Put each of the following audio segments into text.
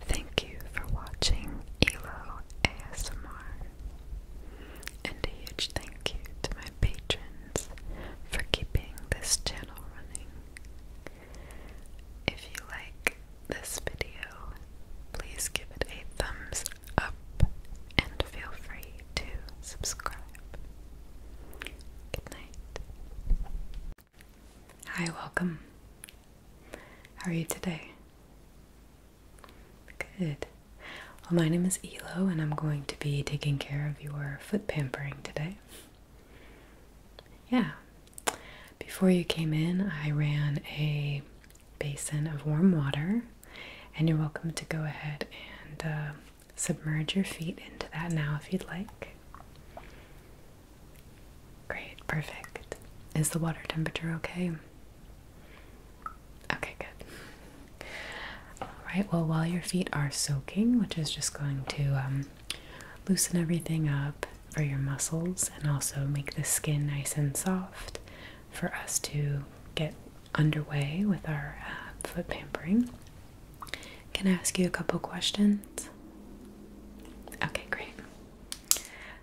Thank you for watching Elo ASMR. And a huge thank you to my patrons for keeping this channel running. If you like this video, please give it a thumbs up and feel free to subscribe. Good night. Hi, welcome. How are you today? Good. Well, my name is Elo, and I'm going to be taking care of your foot pampering today. Yeah. Before you came in, I ran a basin of warm water, and you're welcome to go ahead and uh, submerge your feet into that now if you'd like. Great, perfect. Is the water temperature okay? Okay, good. All right, well, while your feet are soaking, which is just going to um, loosen everything up for your muscles and also make the skin nice and soft for us to get underway with our uh, foot pampering. Can I ask you a couple questions? Okay, great.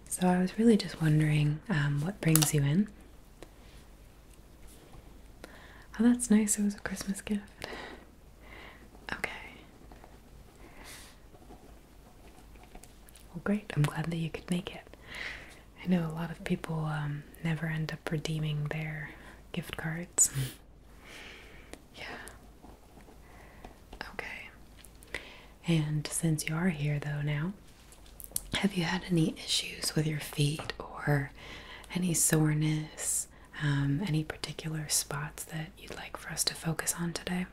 So I was really just wondering um, what brings you in. Oh, that's nice. It was a Christmas gift. Okay. Well, great. I'm glad that you could make it. I know a lot of people um, never end up redeeming their gift cards. yeah. Okay. And since you are here though now, have you had any issues with your feet or any soreness? Um, any particular spots that you'd like for us to focus on today?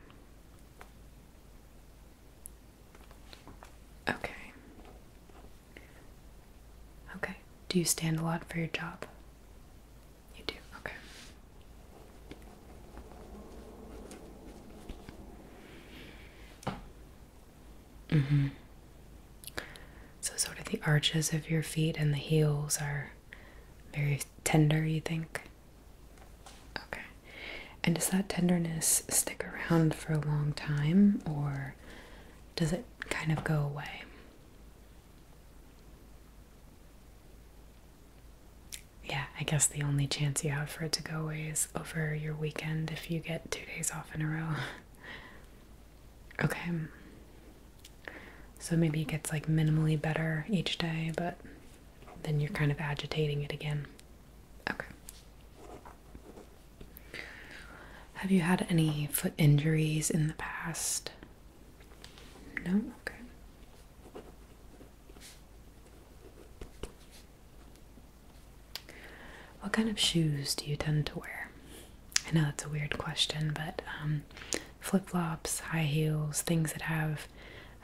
Okay. Okay. Do you stand a lot for your job? You do? Okay. Mm hmm. So, sort of the arches of your feet and the heels are very tender, you think? Okay. And does that tenderness stick around for a long time or does it kind of go away? yeah, I guess the only chance you have for it to go away is over your weekend if you get two days off in a row. okay. So maybe it gets like minimally better each day, but then you're kind of agitating it again. Okay. Have you had any foot injuries in the past? No? Okay. What kind of shoes do you tend to wear? I know that's a weird question, but um, flip flops, high heels, things that have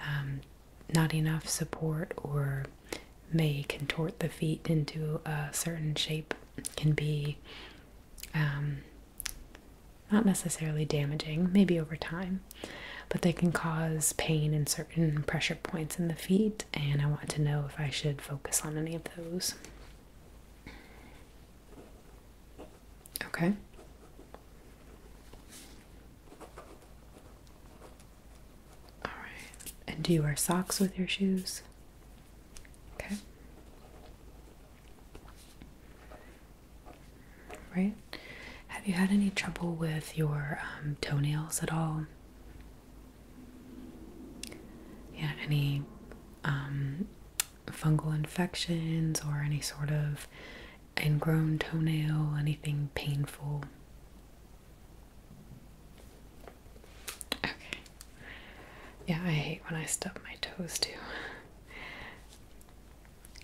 um, not enough support or may contort the feet into a certain shape can be um, not necessarily damaging, maybe over time, but they can cause pain in certain pressure points in the feet, and I want to know if I should focus on any of those. Okay. All right. And do you wear socks with your shoes? Okay. Right? Have you had any trouble with your um, toenails at all? Yeah, any um, fungal infections or any sort of ingrown toenail, anything painful? Okay. Yeah, I hate when I stub my toes too.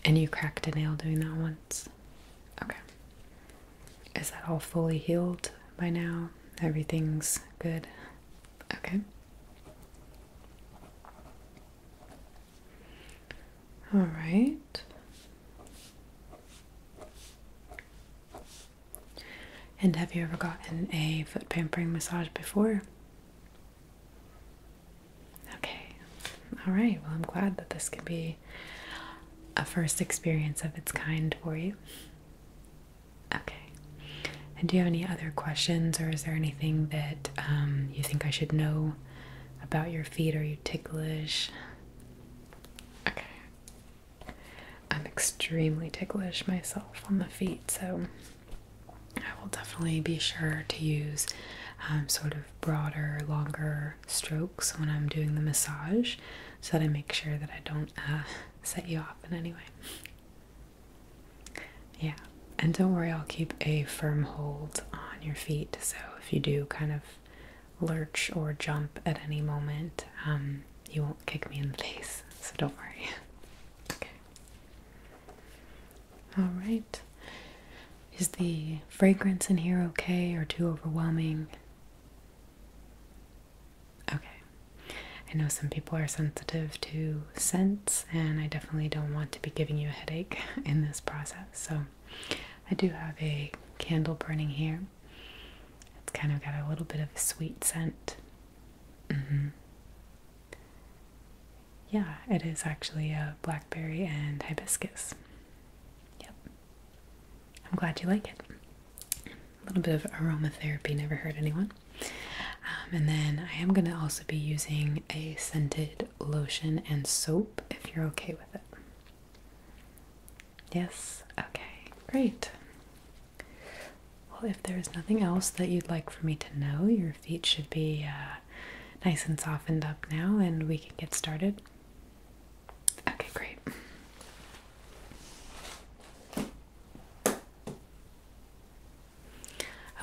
And you cracked a nail doing that once? Okay. Is that all fully healed by now? Everything's good? Okay. All right. And have you ever gotten a foot pampering massage before? Okay. All right. Well, I'm glad that this can be a first experience of its kind for you. Okay. And do you have any other questions, or is there anything that um, you think I should know about your feet? or you ticklish? Okay. I'm extremely ticklish myself on the feet, so I will definitely be sure to use um, sort of broader, longer strokes when I'm doing the massage so that I make sure that I don't uh, set you off in any way. Yeah, and don't worry, I'll keep a firm hold on your feet so if you do kind of lurch or jump at any moment, um, you won't kick me in the face, so don't worry. Okay. All right. Is the fragrance in here okay or too overwhelming? Okay. I know some people are sensitive to scents, and I definitely don't want to be giving you a headache in this process. So, I do have a candle burning here. It's kind of got a little bit of a sweet scent. Mm-hmm. Yeah, it is actually a blackberry and hibiscus. Yep. I'm glad you like it. A little bit of aromatherapy, never hurt anyone. Um, and then I am going to also be using a scented lotion and soap if you're okay with it. Yes? Okay, great. Well, if there's nothing else that you'd like for me to know, you're feet should be uh, nice and softened up now, and we can get started. Okay, great.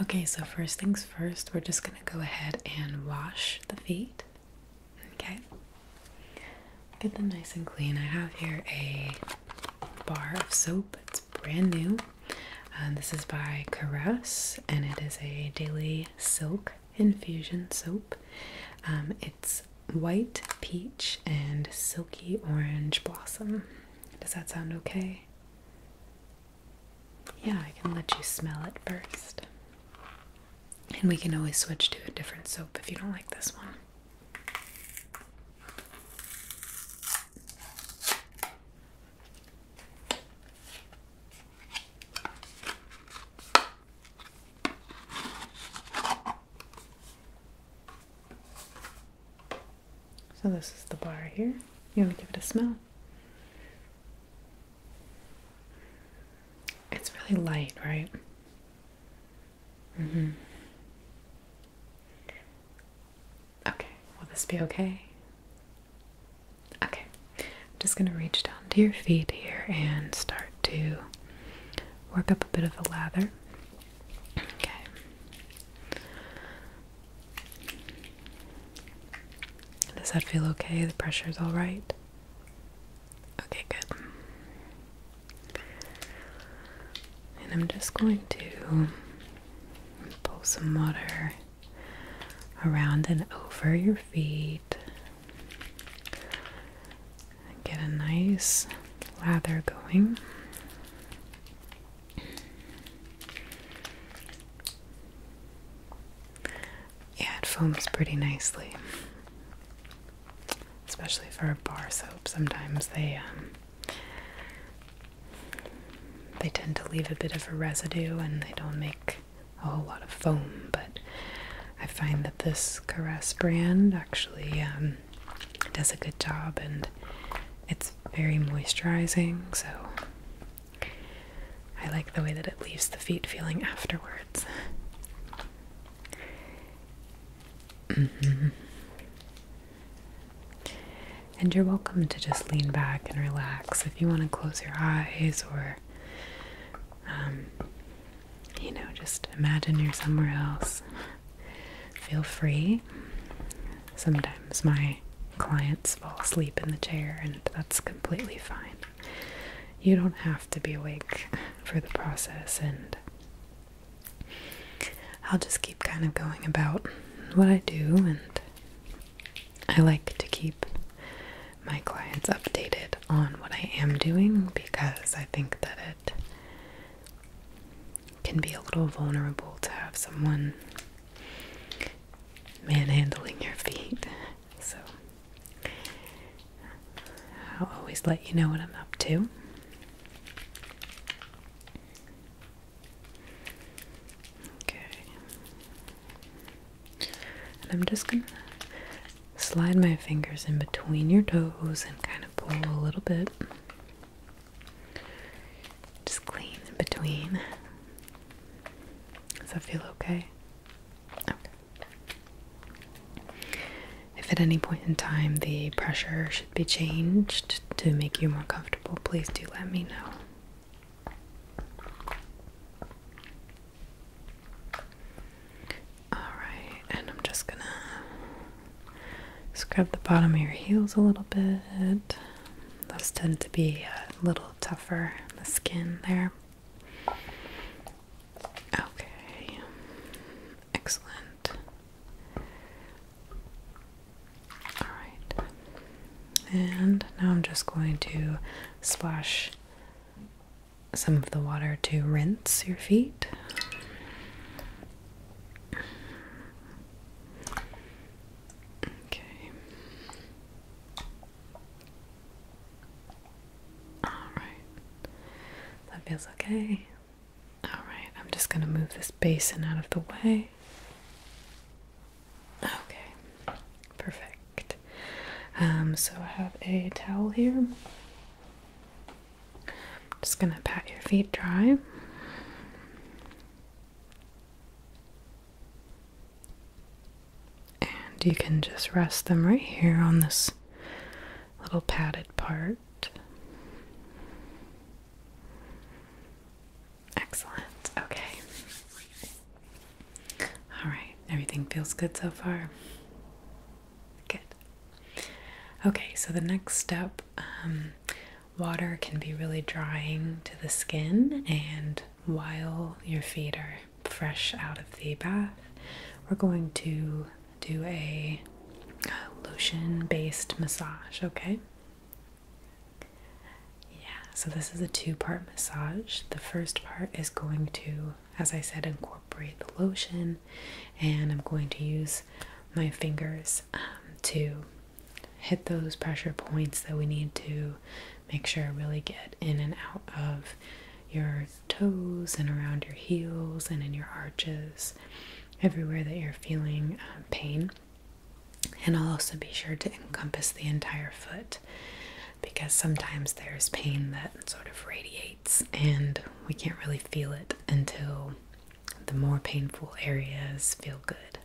Okay, so first things first, we're just going to go ahead and wash the feet. Okay, get them nice and clean. I have here a bar of soap, it's brand new. Um, this is by Caress, and it is a daily silk infusion soap. Um, it's white peach and silky orange blossom. Does that sound okay? Yeah, I can let you smell it first. And we can always switch to a different soap if you don't like this one. So this is the bar here. You want to give it a smell? It's really light, right? Mm-hmm. Okay, will this be okay? Okay, I'm just going to reach down to your feet here and start to work up a bit of a lather. Okay. Does that feel okay? The pressure is all right? Okay, good. And I'm just going to pull some water around and over your feet. Get a nice lather going. Yeah, it foams pretty nicely. Especially for bar soap, sometimes they um, they tend to leave a bit of a residue and they don't make a whole lot of foam, but I find that this Caress brand actually um, does a good job and it's very moisturizing, so I like the way that it leaves the feet feeling afterwards. Mm-hmm. And you're welcome to just lean back and relax if you want to close your eyes or, um, you know, just imagine you're somewhere else. Feel free. Sometimes my clients fall asleep in the chair, and that's completely fine. You don't have to be awake for the process, and I'll just keep kind of going about what I do and I like to keep my clients updated on what I am doing because I think that it can be a little vulnerable to have someone manhandling your feet. So I'll always let you know what I'm up to. Okay. And I'm just gonna slide my fingers in between your toes and kind of pull a little bit. Just clean in between. Does that feel okay? Okay. If at any point in time the pressure should be changed to make you more comfortable, please do let me know. Alright, and I'm just gonna scrub the bottom of your heels a little bit. Those tend to be a little tougher, the skin there. Okay, excellent. All right. And now I'm just going to splash some of the water to rinse your feet. Okay. All right. That feels okay. All right. I'm just going to move this basin out of the way. Okay, perfect. Um, so I have a towel here. just gonna pat your feet dry. And you can just rest them right here on this little padded part. Excellent. Okay. All right. Everything feels good so far? Good. Okay, so the next step um, water can be really drying to the skin, and while your feet are fresh out of the bath, we're going to do a lotion based massage, okay? Yeah, so this is a two part massage. The first part is going to, as I said, incorporate the lotion, and I'm going to use my fingers um, to hit those pressure points that we need to make sure really get in and out of your toes and around your heels and in your arches, everywhere that you're feeling uh, pain. And I'll also be sure to encompass the entire foot because sometimes there's pain that sort of radiates and we can't really feel it until the more painful areas feel good.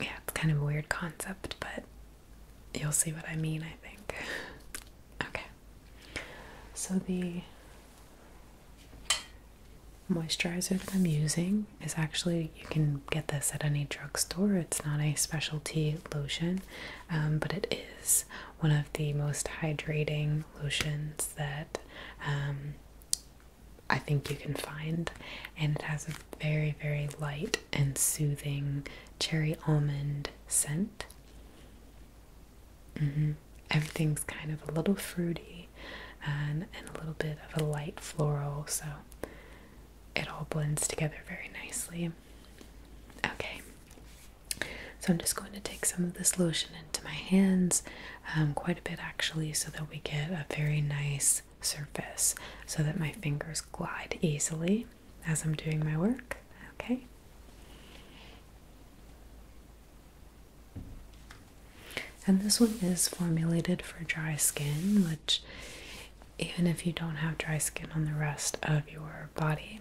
Yeah, kind of a weird concept, but you'll see what I mean, I think. Okay. So the moisturizer that I'm using is actually you can get this at any drugstore. It's not a specialty lotion, um, but it is one of the most hydrating lotions that um, I think you can find, and it has a very, very light and soothing cherry almond scent. Mm-hmm. Everything's kind of a little fruity um, and a little bit of a light floral, so it all blends together very nicely. Okay, so I'm just going to take some of this lotion into my hands, um, quite a bit actually, so that we get a very nice surface, so that my fingers glide easily as I'm doing my work. Okay. And this one is formulated for dry skin, which, even if you don't have dry skin on the rest of your body,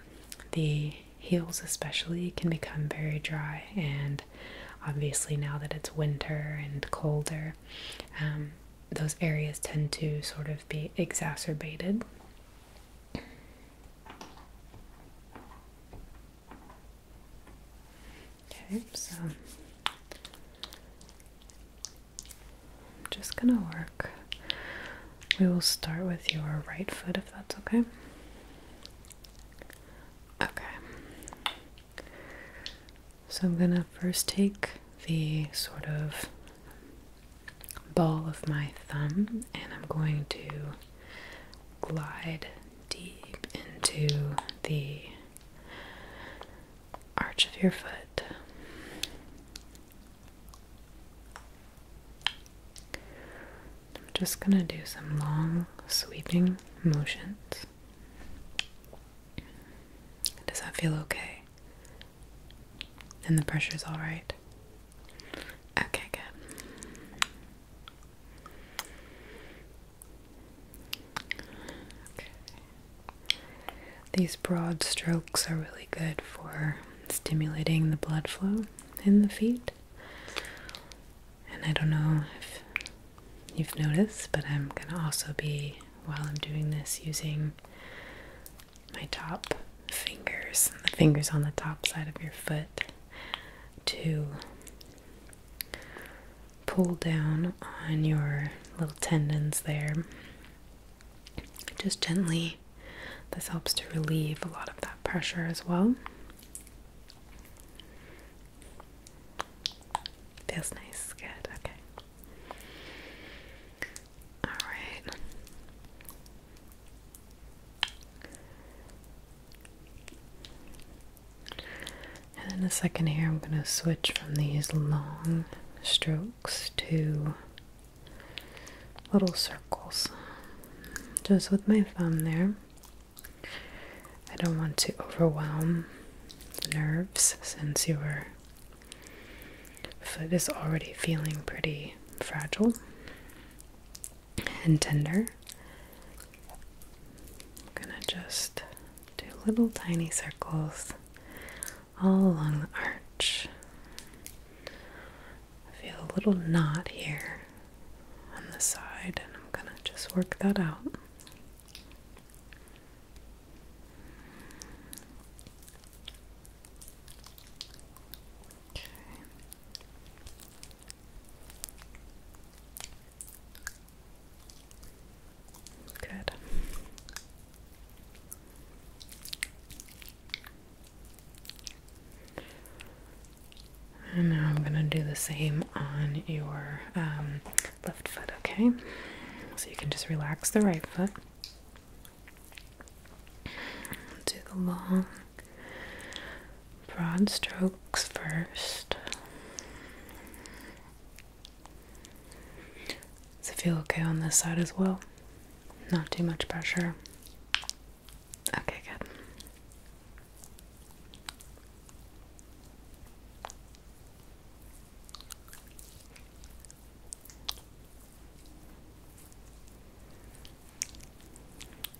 the heels especially can become very dry. And obviously, now that it's winter and colder, um, those areas tend to sort of be exacerbated. Okay, so I'm just gonna work. We will start with your right foot if that's okay. Okay. So I'm gonna first take the sort of ball of my thumb and I'm going to glide deep into the arch of your foot. I'm just going to do some long sweeping motions. Does that feel okay? And the pressure is all right. Okay, good. These broad strokes are really good for stimulating the blood flow in the feet. And I don't know if you've noticed, but I'm going to also be, while I'm doing this, using my top fingers, the fingers on the top side of your foot, to pull down on your little tendons there. Just gently, this helps to relieve a lot of that pressure as well. Feels nice, good, okay. Alright. And then a second here, I'm going to switch from these long strokes to little circles. Just with my thumb there. I don't want to overwhelm the nerves since your foot is already feeling pretty fragile and tender. I'm gonna just do little tiny circles all along the arch. feel a little knot here on the side, and I'm gonna just work that out. Okay. Good. And now I'm going to do the same on your um, left foot, okay? So you can just relax the right foot. Do the long, broad strokes first. Does it feel okay on this side as well? Not too much pressure. Okay, good.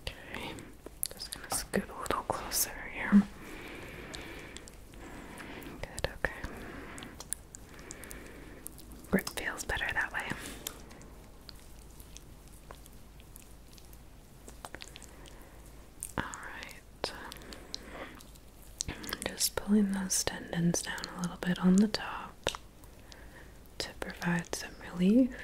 Okay, just gonna scoot a little closer here. Good, okay. Grip feels better that way. Alright. Just pulling those tendons down a little bit on the top to provide some relief.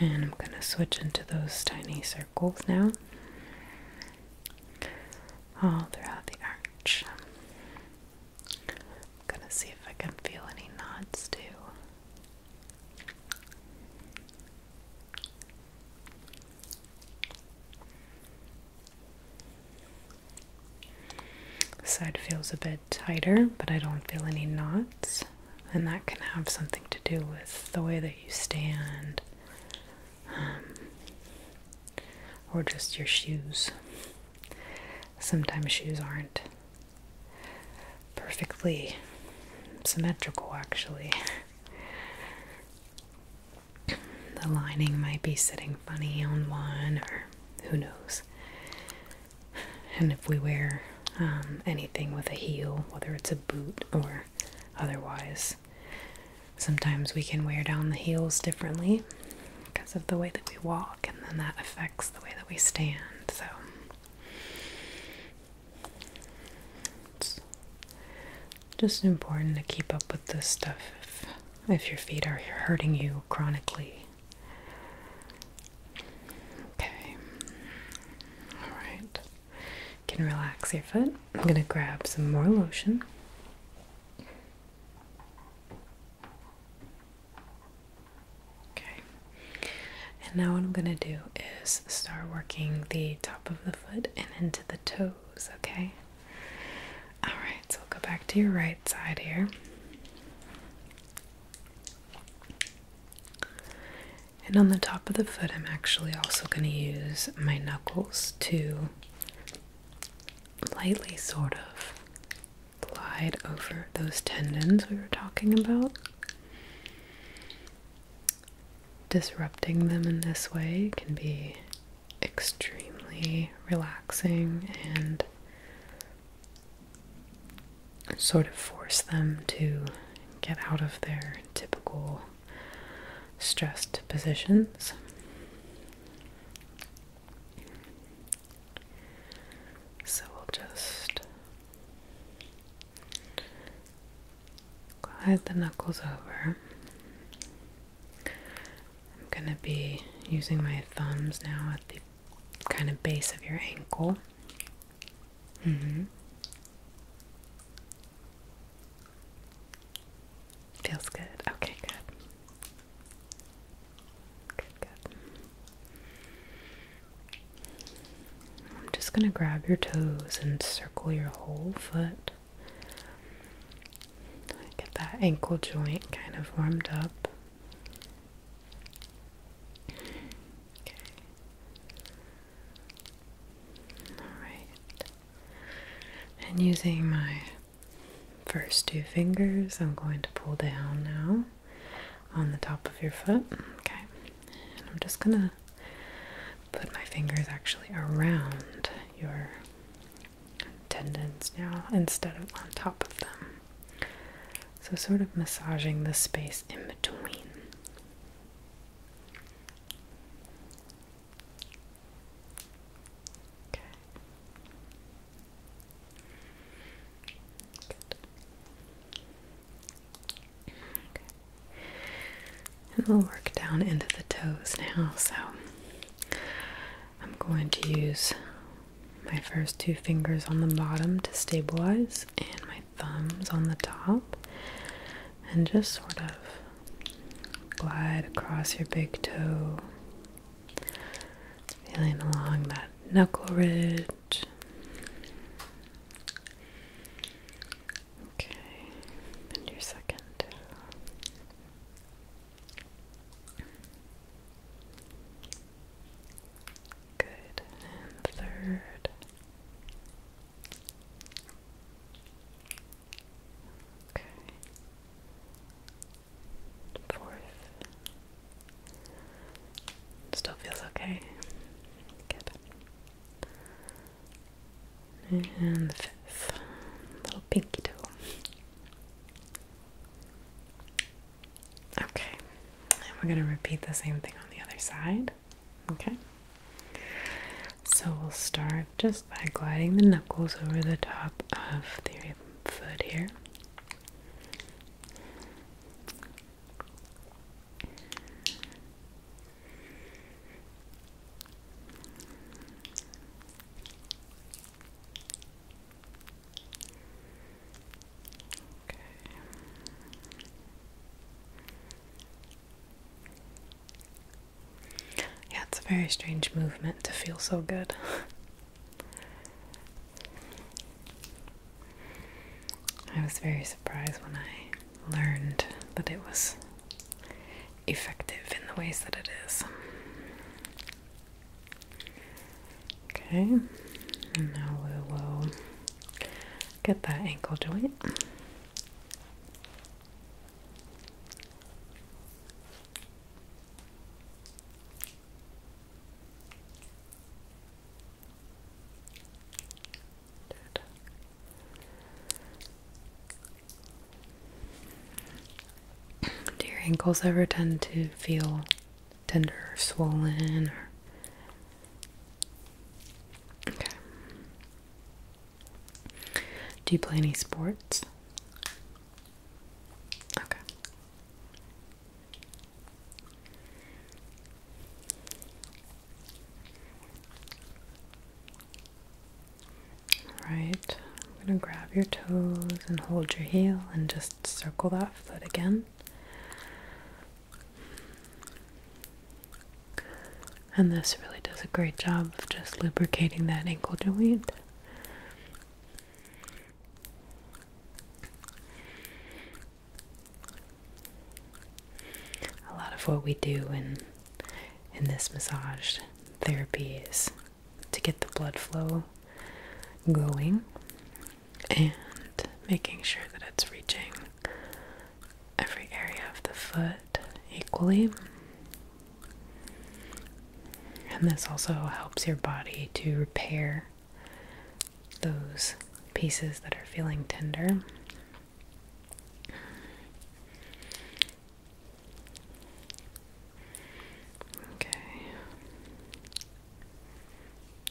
And I'm going to switch into those tiny circles now, all throughout the arch. I'm going to see if I can feel any knots too side feels a bit tighter, but I don't feel any knots, and that can have something to do with the way that you stand, um, or just your shoes. Sometimes shoes aren't perfectly symmetrical, actually. The lining might be sitting funny on one, or who knows. And if we wear um, anything with a heel, whether it's a boot or otherwise, sometimes we can wear down the heels differently because of the way that we walk, and then that affects the way that we stand. So it's just important to keep up with this stuff if, if your feet are hurting you chronically. Okay. Alright. Can relax your foot. I'm gonna grab some more lotion. Okay. And now what I'm gonna do is start working the top of the foot and into the toes, okay? Alright, so go back to your right side here. And on the top of the foot, I'm actually also going to use my knuckles to lightly sort of glide over those tendons we were talking about. Disrupting them in this way can be extremely relaxing and sort of force them to get out of their typical stressed positions. So we'll just glide the knuckles over. I'm going to be using my thumbs now at the kind of base of your ankle. Mm -hmm. Feels good. Okay, good. Good, good. I'm just going to grab your toes and circle your whole foot. Get that ankle joint kind of warmed up. Okay. Alright. And using my first two fingers, I'm going to pull down now on the top of your foot. Okay. And I'm just going to put my fingers actually around your tendons now instead of on top of them. So, sort of massaging the space in between. Okay. Good. Okay. And we'll work down into the toes now. So I'm going to use my first two fingers on the bottom to stabilize and my thumbs on the top and just sort of glide across your big toe. Feeling along that knuckle ridge. Okay, and your second. Good. And third. Okay. Fourth. Still feels okay. Good. And fifth. Little pinky toe. Okay, and we're going to repeat the same thing on the other side. Okay, so we'll start just by gliding the knuckles over the top of the foot here. Yeah, it's a very strange movement to feel so good. I was very surprised when I learned that it was effective in the ways that it is. Okay, and now we will get that ankle joint. Do your ankles ever tend to feel tender or swollen or Okay. Do you play any sports? Okay. All right. I'm going to grab your toes and hold your heel and just circle that foot again. And this really does a great job of just lubricating that ankle joint. A lot of what we do in in this massage therapy is to get the blood flow going and making sure that it's reaching every area of the foot equally. And this also helps your body to repair those pieces that are feeling tender. Okay.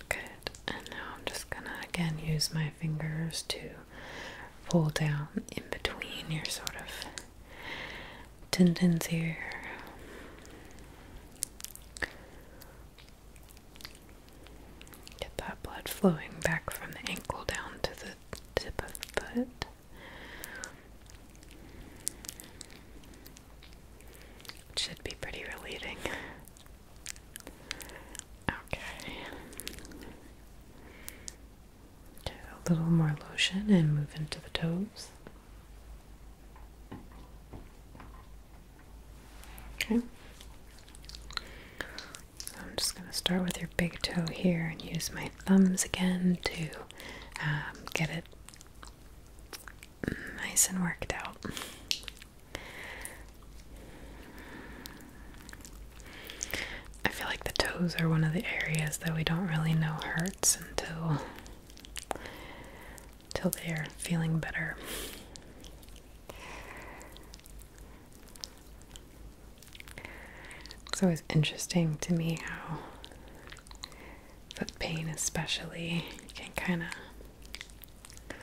Good. And now I'm just gonna again use my fingers to pull down in between your sort of tendons here. Get that blood flowing back from the ankle down to the tip of the foot. It should be pretty relieving. Okay. a little more lotion and move into the toes. Okay. I'm just going to start with your big toe here and use my thumbs again to um, get it nice and worked out. I feel like the toes are one of the areas that we don't really know hurts until till they're feeling better. It's always interesting to me how Foot pain, especially, you can kind of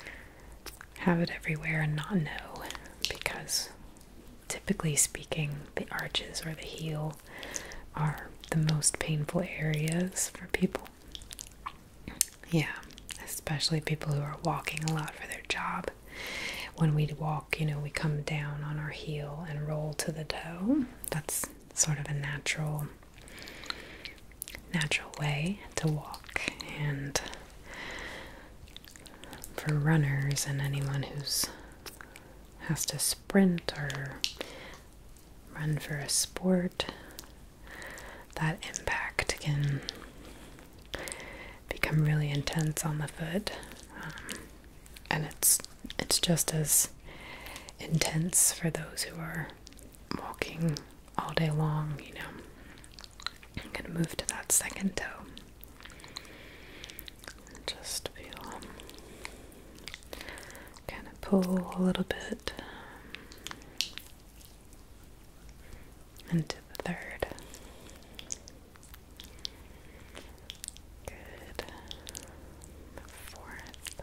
have it everywhere and not know because, typically speaking, the arches or the heel are the most painful areas for people. Yeah, especially people who are walking a lot for their job. When we walk, you know, we come down on our heel and roll to the toe. That's sort of a natural natural way to walk and for runners and anyone who's has to sprint or run for a sport that impact can become really intense on the foot um, and it's it's just as intense for those who are walking all day long, you know. I'm gonna move to that second toe. Just feel um, kind of pull a little bit and um, to the third. Good. The fourth.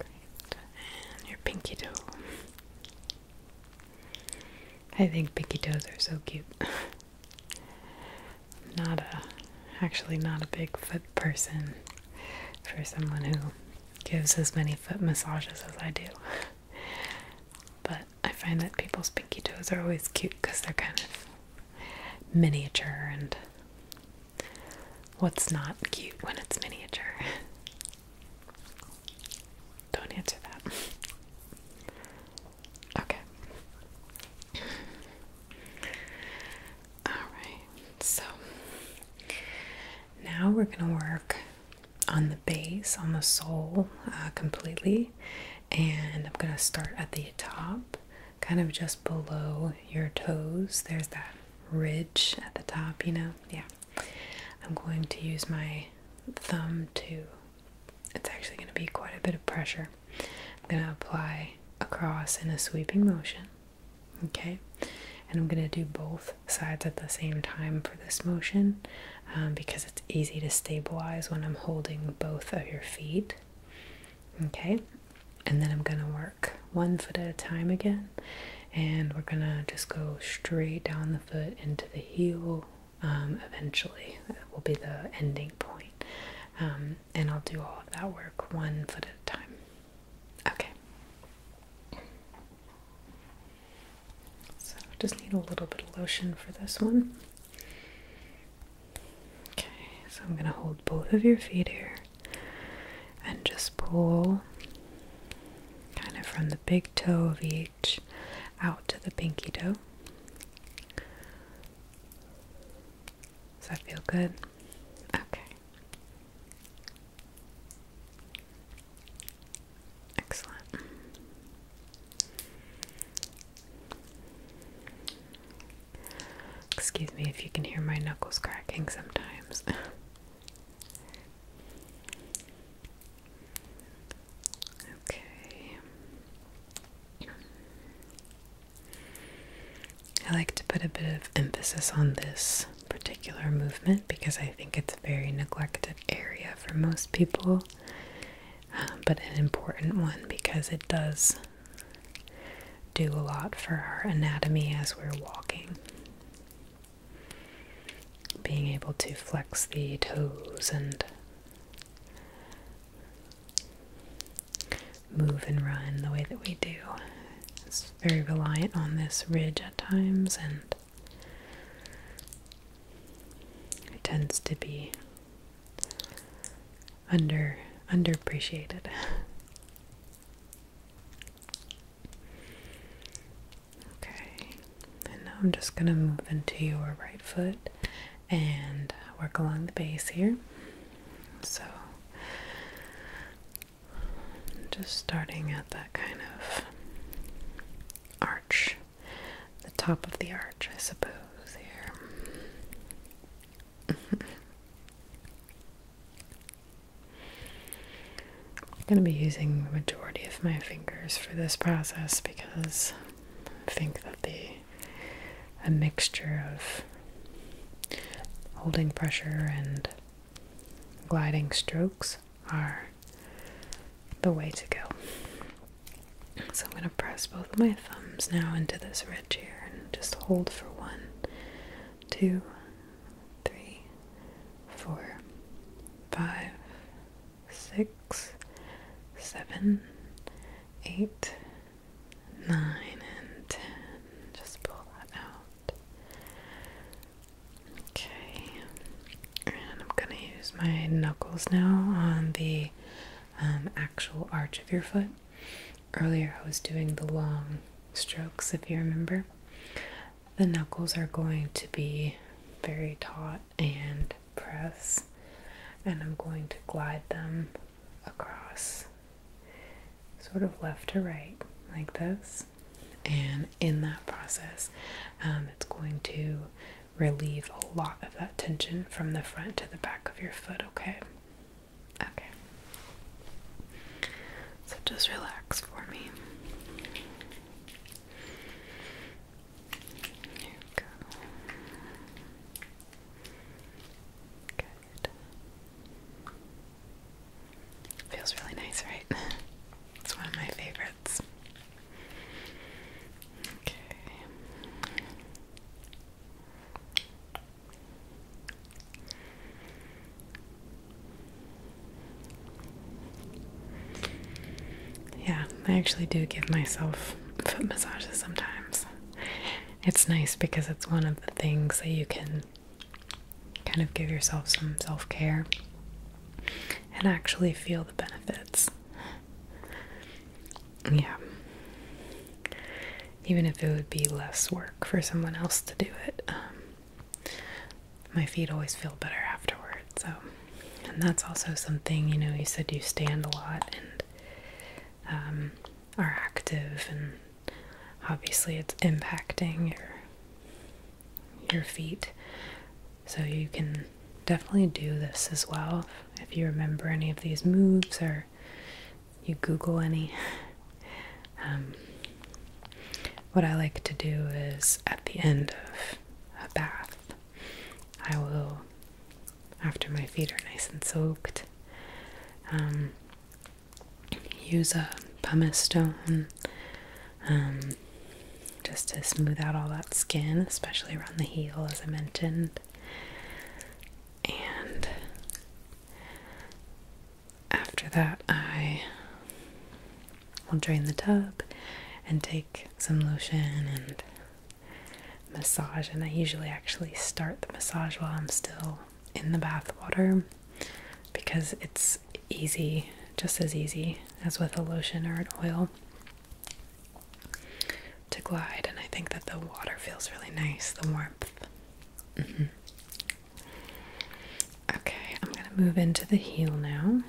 And your pinky toe. I think pinky toes are so cute. not a actually not a big foot person for someone who gives as many foot massages as I do. But I find that people's pinky toes are always cute because they're kind of miniature and what's not cute when it's miniature. Don't answer that. Okay. Alright, so now we're going to work on the base, on the sole uh, completely, and I'm going to start at the top kind of just below your toes. There's that ridge at the top, you know? Yeah. I'm going to use my thumb to, it's actually going to be quite a bit of pressure. I'm going to apply across in a sweeping motion, okay? And I'm going to do both sides at the same time for this motion um, because it's easy to stabilize when I'm holding both of your feet. Okay, and then I'm gonna work one foot at a time again, and we're gonna just go straight down the foot into the heel. Um, eventually, that will be the ending um, and I'll do all of that work one foot at a time. Okay, so I just need a little bit of lotion for this one. Okay, so I'm going to hold both of your feet here and just pull kind of from the big toe of each out to the pinky toe. Does that feel good? Okay. Excellent. Excuse me if you can hear my knuckles cracking sometimes. okay. I like to put a bit of emphasis on this particular movement because I think it's a very neglected area for most people, uh, but an important one because it does do a lot for our anatomy as we're walking. Being able to flex the toes and move and run the way that we do. It's very reliant on this ridge at times, and it tends to be under underappreciated. Okay, and now I'm just gonna move into your right foot and work along the base here. So, just starting at that kind of arch, the top of the arch, I suppose, here. I'm going to be using the majority of my fingers for this process because I think that the a mixture of holding pressure and gliding strokes are the way to go. So I'm going to press both of my thumbs now into this ridge here and just hold for one, two, three, four, five, six, seven, eight, nine, and ten. Just pull that out. Okay, and I'm gonna use my knuckles now on the um, actual arch of your foot. Earlier I was doing the long strokes, if you remember. The knuckles are going to be very taut and press, and I'm going to glide them across, sort of left to right, like this. And in that process, um, it's going to relieve a lot of that tension from the front to the back of your foot, okay? Okay. So just relax for me. Here we go. Good. Feels really nice, right? It's one of my favorites. Okay. Yeah, I actually do give myself foot massages sometimes. It's nice because it's one of the things that you can kind of give yourself some self care and actually feel the benefits. Yeah. Even if it would be less work for someone else to do it, um, my feet always feel better afterward. So, and that's also something you know. You said you stand a lot and um, are active, and obviously it's impacting your your feet. So you can definitely do this as well if you remember any of these moves or you Google any. Um, what I like to do is at the end of a bath, I will, after my feet are nice and soaked, um, use a pumice stone um, just to smooth out all that skin, especially around the heel, as I mentioned and after that, I will drain the tub and take some lotion and massage. And I usually actually start the massage while I'm still in the bathwater because it's easy, just as easy as with a lotion or an oil to glide, and I think that the water feels really nice, the warmth. Mm-hmm. Okay, I'm going to move into the heel now.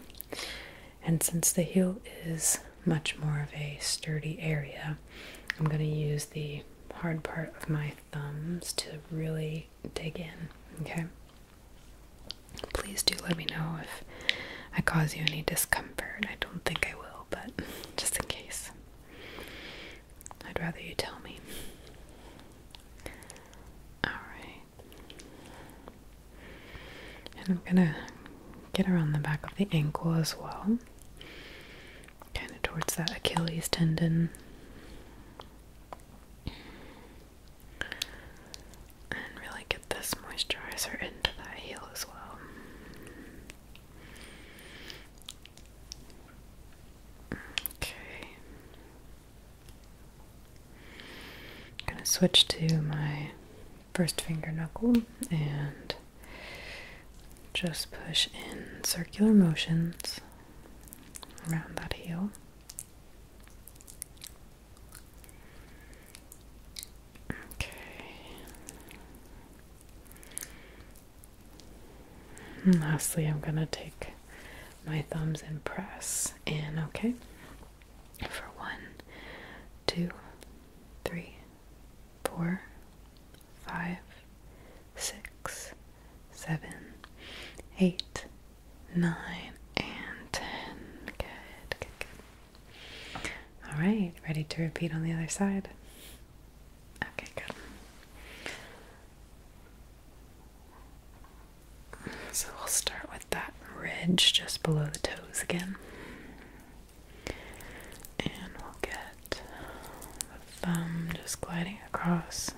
And since the heel is much more of a sturdy area, I'm going to use the hard part of my thumbs to really dig in. Okay? Please do let me know if I cause you any discomfort. I don't think I will, but just in case. I'd rather you tell me. Alright. And I'm gonna get around the back of the ankle as well. Kind of towards that Achilles tendon. And really get this moisturizer into that heel as well. Okay. I'm going to switch to my first finger knuckle and just push in circular motions around that heel. Okay. lastly, I'm going to take my thumbs and press in, okay? For one, two, three, four, five, six, seven, eight, nine, and ten. Good, good, good. All right, ready to repeat on the other side? Okay, good. So we'll start with that ridge just below the toes again. And we'll get the thumb just gliding across.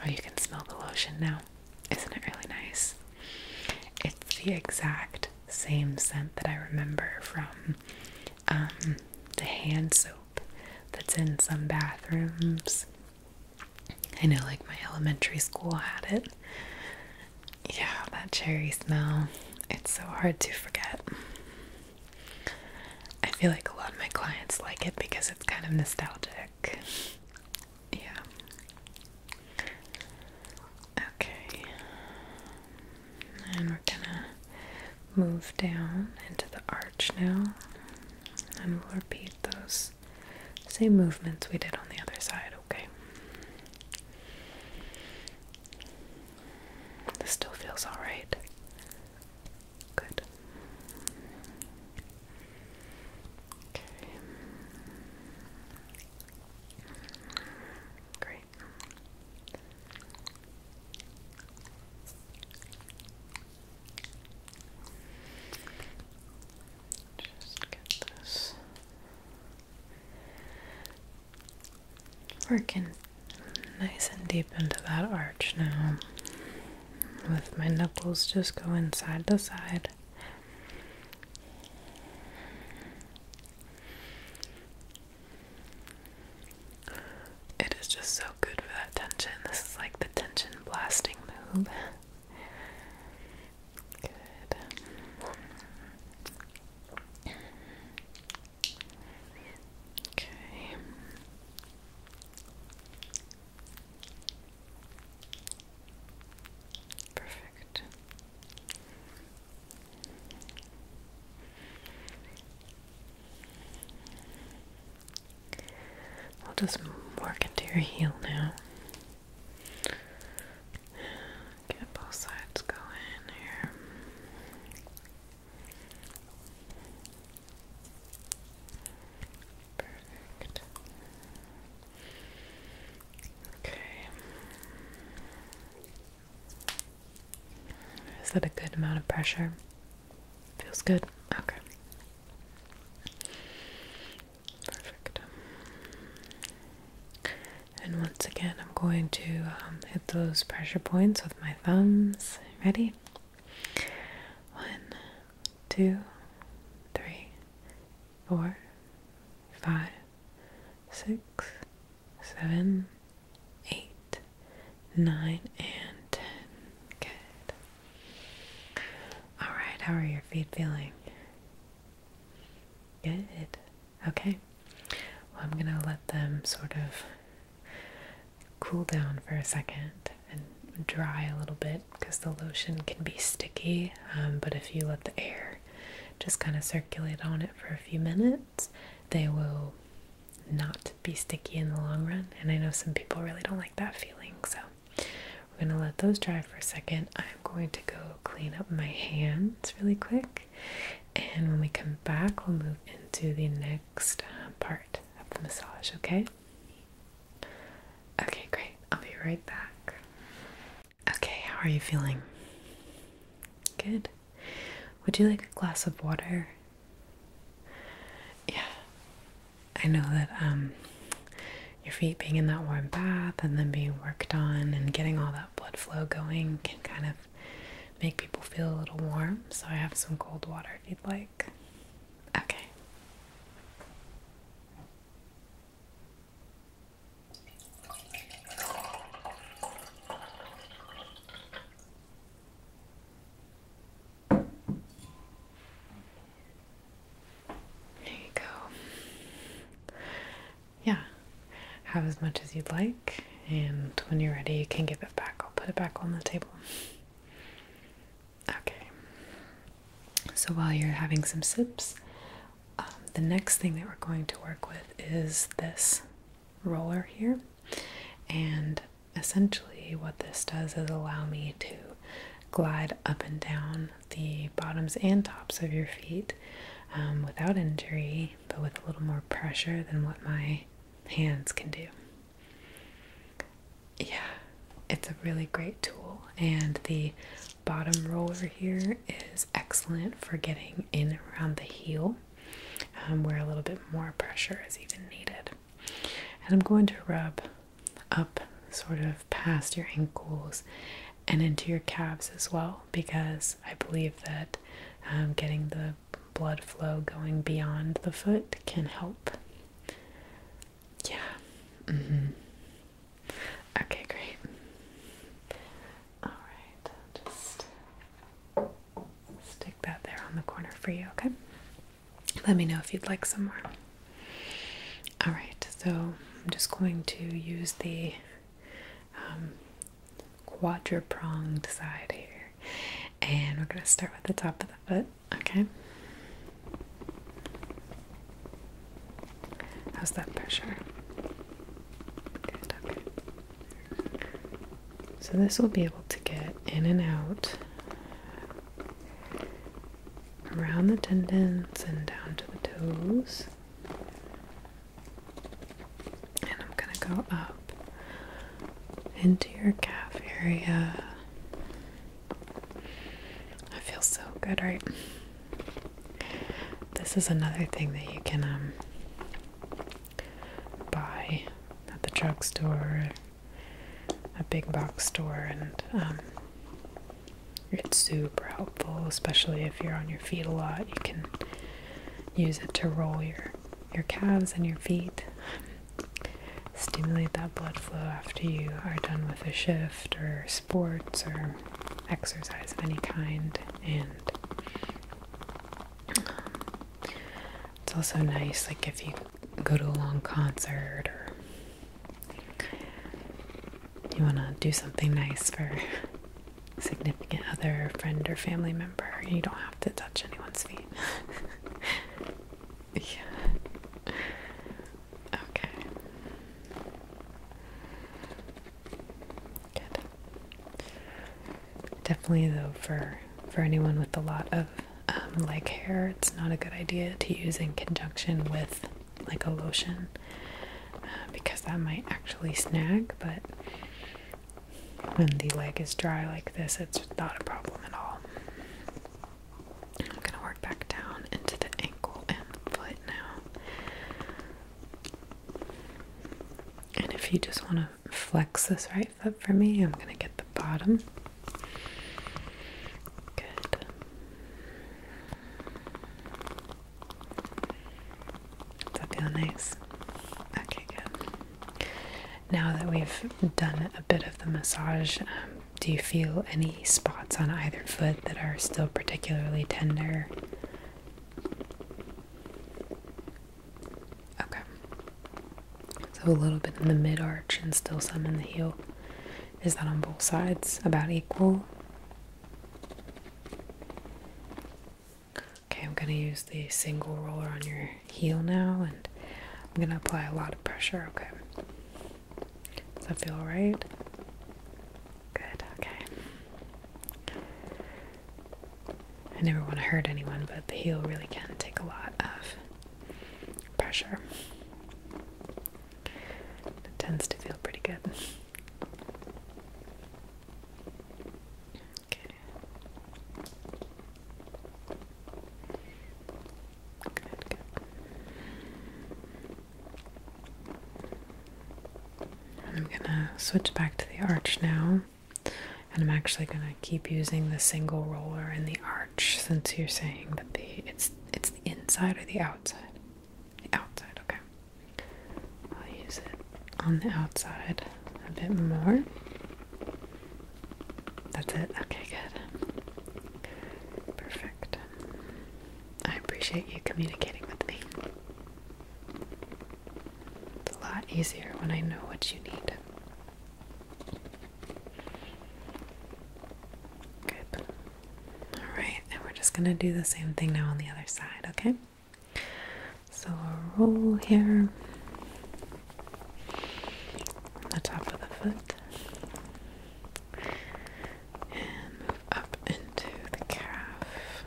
Oh, you can smell the lotion now. Isn't it really nice? It's the exact same scent that I remember from um, the hand soap that's in some bathrooms. I know, like, my elementary school had it. Yeah, that cherry smell. It's so hard to forget. I feel like a lot of my clients like it because it's kind of nostalgic. Yeah. Okay. And we're gonna move down into the arch now. And we'll repeat those same movements we did on the other side, okay? This still feels alright. Good. Okay. Great. Just get this working Nice and deep into that arch now. With my knuckles, just going side to side. It is just so good for that tension. This is like the tension blasting move. Good. Okay. Perfect. I'll just work into your heel now. Get both sides going here. Perfect. Okay. Is that a good amount of pressure? Feels good. Okay. Perfect. And once again, I'm going to um, hit those pressure points with my thumbs. Ready? One, two, three, four, five, six, seven, eight, nine, and ten. Good. All right, how are your feet feeling? Good. Okay. Well, I'm going to let them sort of cool down for a second and dry a little bit because the lotion can be sticky. Um, but if you let the air just kind of circulate on it for a few minutes, they will not be sticky in the long run. And I know some people really don't like that feeling, so we're gonna let those dry for a second. I'm going to go clean up my hands really quick, and when we come back, we'll move into the next next part of the massage, okay? Okay, great. I'll be right back. Okay, how are you feeling? Good. Would you like a glass of water? Yeah. I know that um your feet being in that warm bath and then being worked on and getting all that blood flow going can kind of make people feel a little warm. So I have some cold water like. Okay. There you go. Yeah, have as much as you'd like, and when you're ready, you can give it back. I'll put it back on the table. Okay. So while you're having some sips, um, the next thing that we're going to work with is this roller here. And essentially, what this does is allow me to glide up and down the bottoms and tops of your feet um, without injury, but with a little more pressure than what my hands can do yeah, it's a really great tool, and the bottom roller here is excellent for getting in around the heel, um, where a little bit more pressure is even needed. And I'm going to rub up sort of past your ankles and into your calves as well because I believe that um, getting the blood flow going beyond the foot can help. Yeah. Mm -hmm. Okay, great. All just stick that there on the corner for you, okay? Let me know if you'd like some more. All right, so I'm just going to use the um, quadrupronged side here, and we're going to start with the top of the foot. Okay. How's that pressure? okay. So this will be able to get in and out around the tendons and down to the toes. And I'm going to go up into your calf area. I feel so good, right? This is another thing that you can um, buy at the drugstore, a big box store, and um, it's super helpful, especially if you're on your feet a lot. You can use it to roll your your calves and your feet. Stimulate that blood flow after you are done with a shift or sports or exercise of any kind. And it's also nice, like if you go to a long concert or you want to do something nice for significant other, friend, or family member, you don't have to touch anyone's feet. Yeah. Okay. Good. Definitely though for for anyone with a lot of um, like hair, it's not a good idea to use in conjunction with like a lotion uh, because that might actually snag, but when the leg is dry like this, it's not a problem at all. I'm gonna work back down into the ankle and foot now. And if you just wanna flex this right foot for me, I'm gonna get the bottom. Good. Does that feel nice? Okay, good. Now that we've done a bit of the massage, um, do you feel any spots on either foot that are still particularly tender? Okay. So a little bit in the mid arch and still some in the heel. Is that on both sides about equal? Okay, I'm going to use the single roller on your heel now, and I'm gonna apply a lot of pressure, okay? Does that feel right? Good, okay. I never want to hurt anyone, but the heel really can take a lot of pressure. It tends to feel pretty good. Good, good. I'm gonna switch back to the arch now, and I'm actually gonna keep using the single roller in the arch since you're saying that the it's it's the inside or the outside. The outside, okay. I'll use it on the outside a bit more. That's it? Okay, good. Perfect. I appreciate you communicating with me. It's a lot easier when I know what you need. Good. Alright, and we're just gonna do the same thing now on the other side, okay? So, a roll here, the top of the foot and move up into the calf.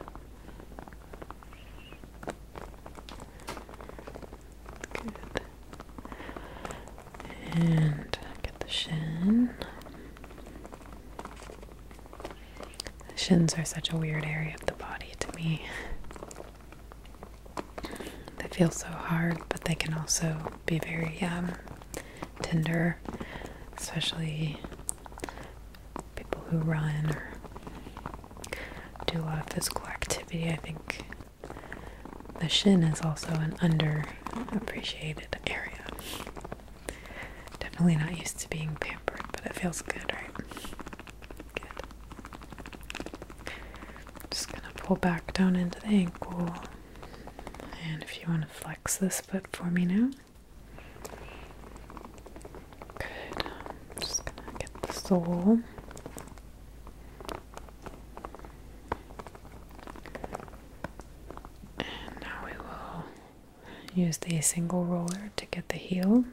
Good. And get the shin. shins are such a weird area of the body to me. They feel so hard, but they can also be very um, tender, especially people who run or do a lot of physical activity. I think the shin is also an underappreciated area. Definitely not used to being pampered, but it feels good, right? Good. Just gonna pull back down into the ankle. And if you want to flex this foot for me now. Good. just gonna get the sole. And now we will use the single roller to get the heel.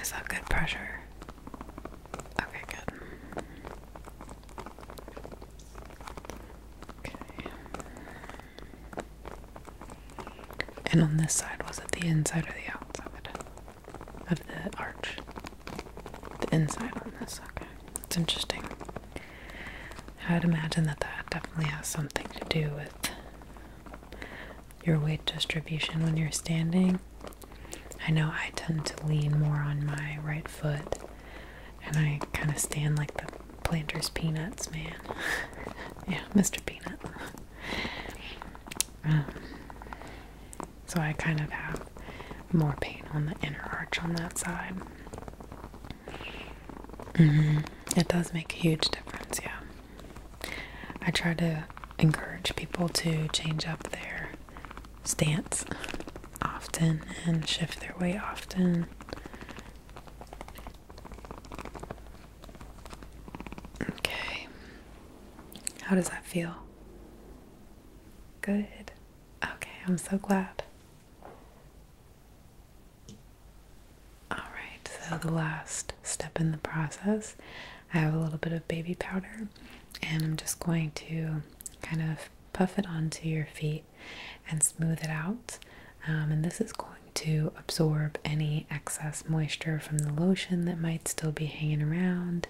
Is that good pressure? Okay, good. Okay. And on this side, was it the inside or the outside of the arch? The inside on this, okay. that's interesting. I'd imagine that that definitely has something to do with your weight distribution when you're standing. I know I tend to lean more on my right foot and I kind of stand like the planter's peanuts, man. yeah, Mr. Peanut. Um, so I kind of have more pain on the inner arch on that side. Mm-hmm. It does make a huge difference, yeah. I try to encourage people to change up their stance often and shift their way often. Okay. How does that feel? Good. Okay, I'm so glad. All right, so the last step in the process I have a little bit of baby powder and I'm just going to kind of puff it onto your feet and smooth it out. Um, and this is going to absorb any excess moisture from the lotion that might still be hanging around.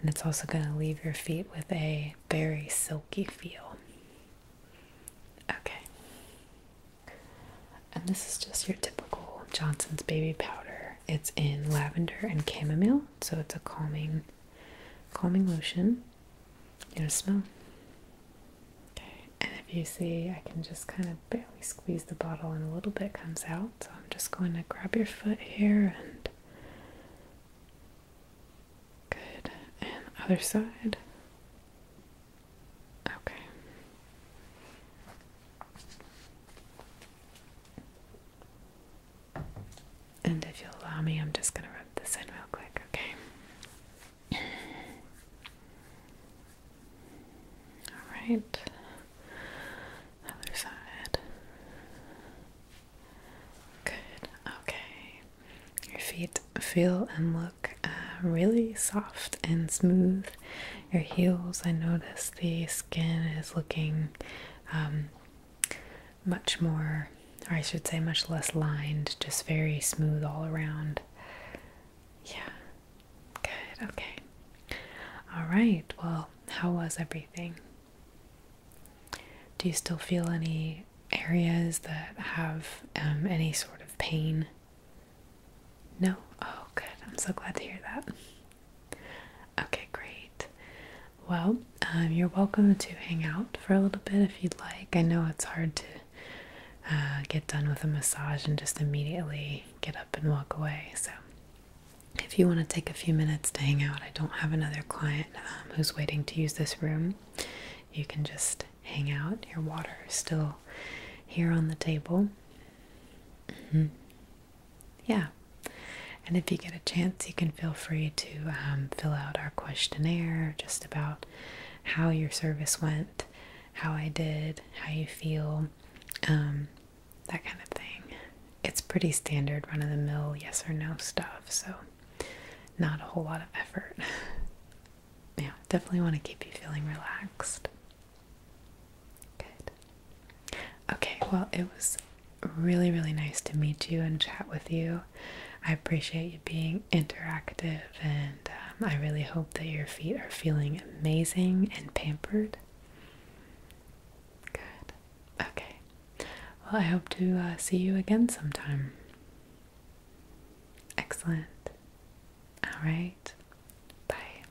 And it's also going to leave your feet with a very silky feel. Okay. And this is just your typical Johnson's baby powder. It's in lavender and chamomile, so it's a calming calming lotion. You know smell. Okay, and if you see I can just kind of barely squeeze the bottle and a little bit comes out. So I'm just going to grab your foot here and good. And other side. Okay. And if you'll allow me, I'm just going to rub this in real quick, okay? All right. Other side. Good. Okay. Your feet feel and look uh, really soft and smooth. Your heels, I notice, the skin is looking um, much more, or I should say, much less lined, just very smooth all around. Yeah, good, okay. All right, well, how was everything? Do you still feel any areas that have um, any sort of pain? No? Oh, good. I'm so glad to hear that. Okay, great. Well, um, you're welcome to hang out for a little bit if you'd like. I know it's hard to uh, get done with a massage and just immediately get up and walk away. So, if you want to take a few minutes to hang out, I don't have another client um, who's waiting to use this room. You can just hang out. Your water is still here on the table. Mm-hmm yeah. And if you get a chance, you can feel free to um, fill out our questionnaire just about how your service went, how I did, how you feel, um, that kind of thing. It's pretty standard, run of the mill, yes or no stuff, so not a whole lot of effort. yeah, definitely want to keep you feeling relaxed. Good. Okay, well, it was really, really nice to meet you and chat with you. I appreciate you being interactive, and um, I really hope that your feet are feeling amazing and pampered. Good. Okay. Well, I hope to uh, see you again sometime. Excellent. All right. Bye.